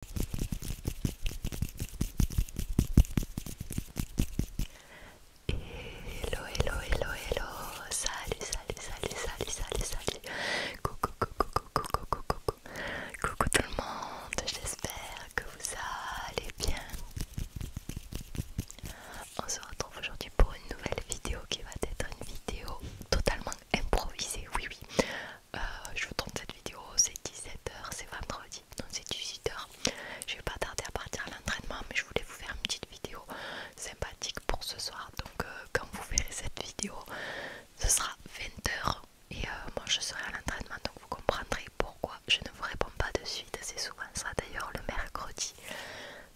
Hello, hello, hello, hello, salut, salut, salut, salut, salut, salut, coucou, coucou, coucou, coucou, coucou, coucou tout le monde, j'espère que vous allez bien. On se retrouve aujourd'hui pour une nouvelle vidéo qui va être une vidéo totalement improvisée, oui, oui. Euh, je vous tourne cette vidéo, c'est 17h, c'est vendredi, donc c'est 18h. Je vais pas tarder à partir à l'entraînement, mais je voulais vous faire une petite vidéo sympathique pour ce soir. Donc, euh, quand vous verrez cette vidéo, ce sera 20h et euh, moi je serai à l'entraînement, donc vous comprendrez pourquoi je ne vous réponds pas de suite. C'est souvent ça d'ailleurs le mercredi.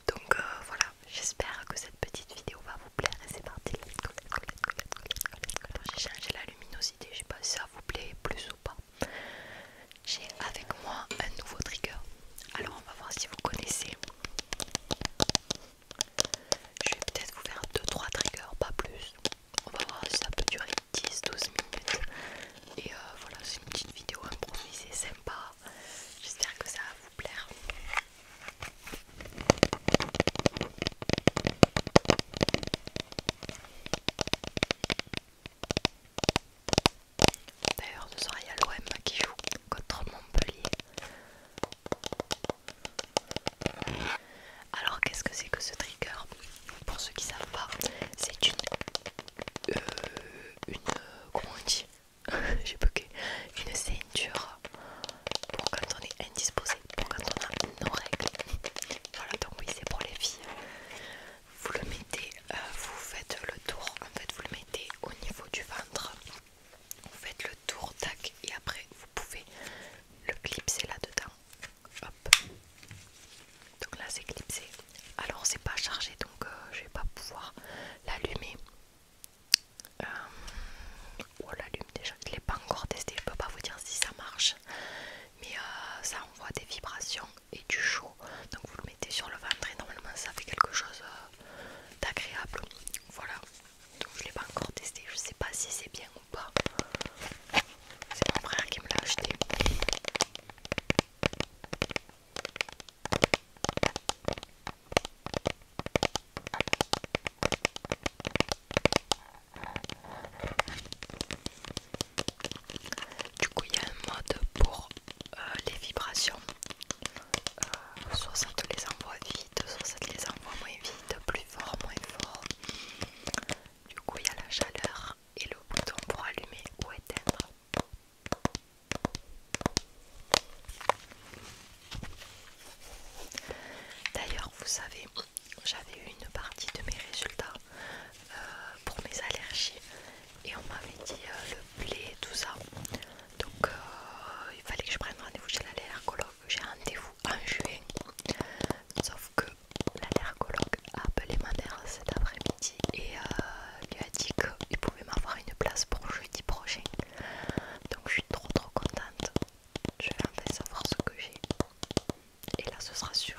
Donc voilà, j'espère que cette petite vidéo va vous plaire et c'est parti. J'ai changé la je sais pas si ça vous plaît plus ou pas. J'ai avec moi un nouveau trigger. Alors on va voir si vous connaissez. Je vais peut-être vous faire 2-3 triggers, pas plus. On va voir si ça peut durer 10-12 minutes. Et euh, voilà, c'est une petite vidéo improvisée, sympa. J'espère que ça va vous plaire. D'ailleurs, ce soir il l'OM qui joue contre Montpellier. Alors, qu'est-ce que c'est que ce trigger Pour ceux qui savent pas, c'est une. Euh, une. Comment on dit J'ai bugué. Une ceinture pour quand on est indisposé pour quand on a nos règles. Voilà, donc oui, c'est pour les filles. Vous le mettez, euh, vous faites le tour, en fait, vous le mettez au niveau du ventre. Vous faites le tour, tac, et après, vous pouvez le clipser là-dedans. Hop. Donc là, c'est clipsé. Alors, c'est pas chargé, donc euh, je vais pas pouvoir l'allumer. Euh, on oh, l'allume déjà. Je ne l'ai pas encore testé, je peux pas vous dire si ça marche. Mais euh, ça envoie des vibrations et du chaud. Donc vous le mettez sur le ventre et normalement ça fait quelque chose euh, d'agréable. Voilà. Donc je ne l'ai pas encore testé. Je sais pas si c'est bien ou pas. C'est mon frère qui me l'a acheté. Du coup, il y a un mode pour euh, les vibrations. 60 euh, les envoie vite, 60 les envoie moins vite, plus fort, moins fort. Du coup, il y a la chaleur et le bouton pour allumer ou éteindre. D'ailleurs, vous savez, j'avais eu une partie de mes résultats euh, pour mes allergies et on m'avait dit euh, le blé et tout ça. Donc, euh, il fallait que je prenne rendez-vous chez l'allergologue. J'ai rendez-vous en juin. Sauf que l'allergologue a appelé ma mère cet après-midi et lui a dit qu'il pouvait m'avoir une place pour jeudi prochain. Donc je suis trop trop contente. Je vais faire savoir ce que j'ai. Et là, ce sera sûr.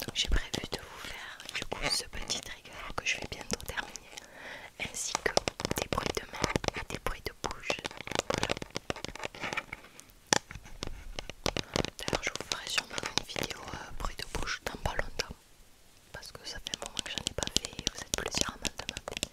Donc j'ai prévu de vous faire du coup ce petit trigger que je vais bientôt terminer ainsi que des bruits de main et des bruits de bouche. D'ailleurs je vous ferai sûrement une vidéo euh, bruit de bouche dans pas longtemps parce que ça fait un moment que j'en ai pas fait et vous êtes plusieurs à demander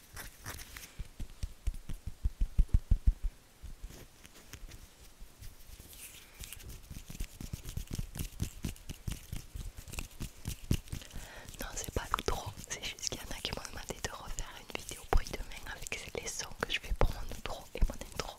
Non, c'est pas l'outro, c'est juste qu'il y en a qui m'ont demandé de refaire une vidéo bruit demain avec les sons que je fais pour mon outro et mon intro.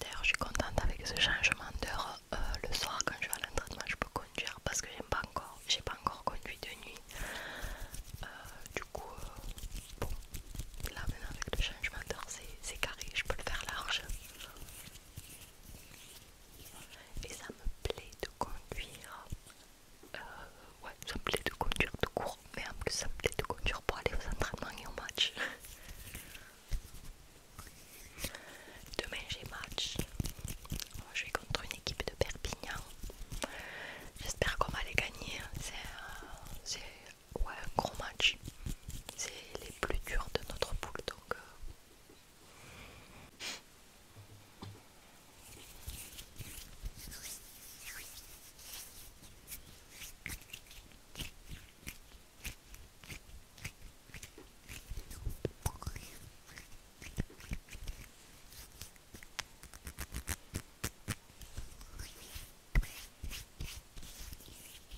D'ailleurs, je suis contente avec ce changement d'heure. Euh, le soir, quand je vais à l'entraînement, je peux conduire parce que j'aime pas encore, j'ai pas encore conduit de nuit. Euh, du coup, euh, bon, là maintenant avec le changement d'heure, c'est carré, je peux le faire large. Et ça me plaît de conduire. Euh, ouais, ça me plaît de conduire de court, mais en plus ça me plaît de conduire pour aller aux entraînements et aux matchs. Demain j'ai match. Je vais contre une équipe de Perpignan. J'espère qu'on va les gagner. Hein. C'est euh, ouais, gros match. C'est les plus durs de notre poule donc. Euh.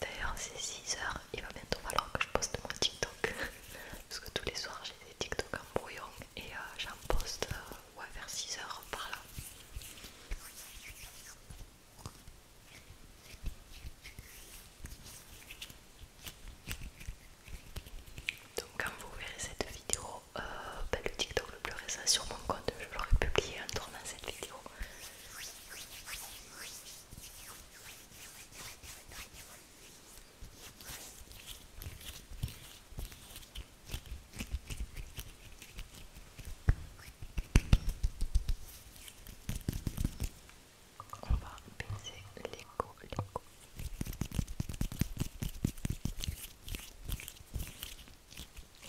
D'ailleurs, c'est 6h, il va bientôt falloir que je poste mon TikTok. Parce que tous les soirs j'ai des TikTok en brouillon et euh, j'en poste euh, vers 6h par là. Donc quand vous verrez cette vidéo, euh, ben, le TikTok le plus récent sur mon compte, je l'aurai publié en tournant cette vidéo on va baisser les Et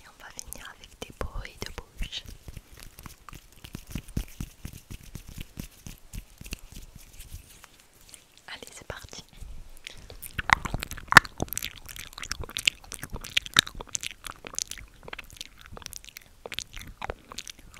on va venir avec des bruits de bouche. Allez, c'est parti.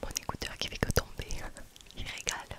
Mon écouteur qui fait que tomber, il régale.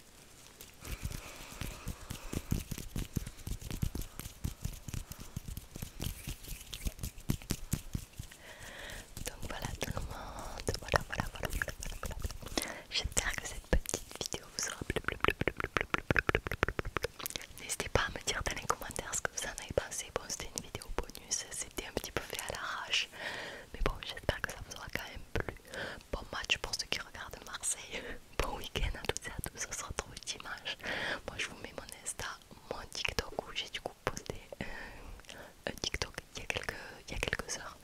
Donc voilà tout le monde, voilà voilà voilà J'espère que cette petite vidéo vous aura plu. N'hésitez pas à me dire dans les commentaires ce que vous en avez pensé. Bon c'était une vidéo bonus, c'était un petit peu fait à l'arrache. Mais bon j'espère que ça vous aura quand même plu. Bon match pour ceux qui regardent Marseille. Bon week-end à toutes et à tous. On se retrouve dimanche. Moi, je vous mets mon Insta, mon TikTok où j'ai du coup posté un TikTok il y, a quelques, il a quelques heures.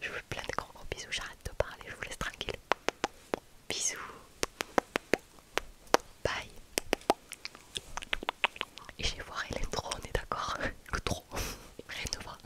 Je vous fais plein de gros bisous. J'arrête de parler. Je vous laisse tranquille. Bisous. Bye. Et je vais voir l'intro, on est d'accord Le trop, rien de voir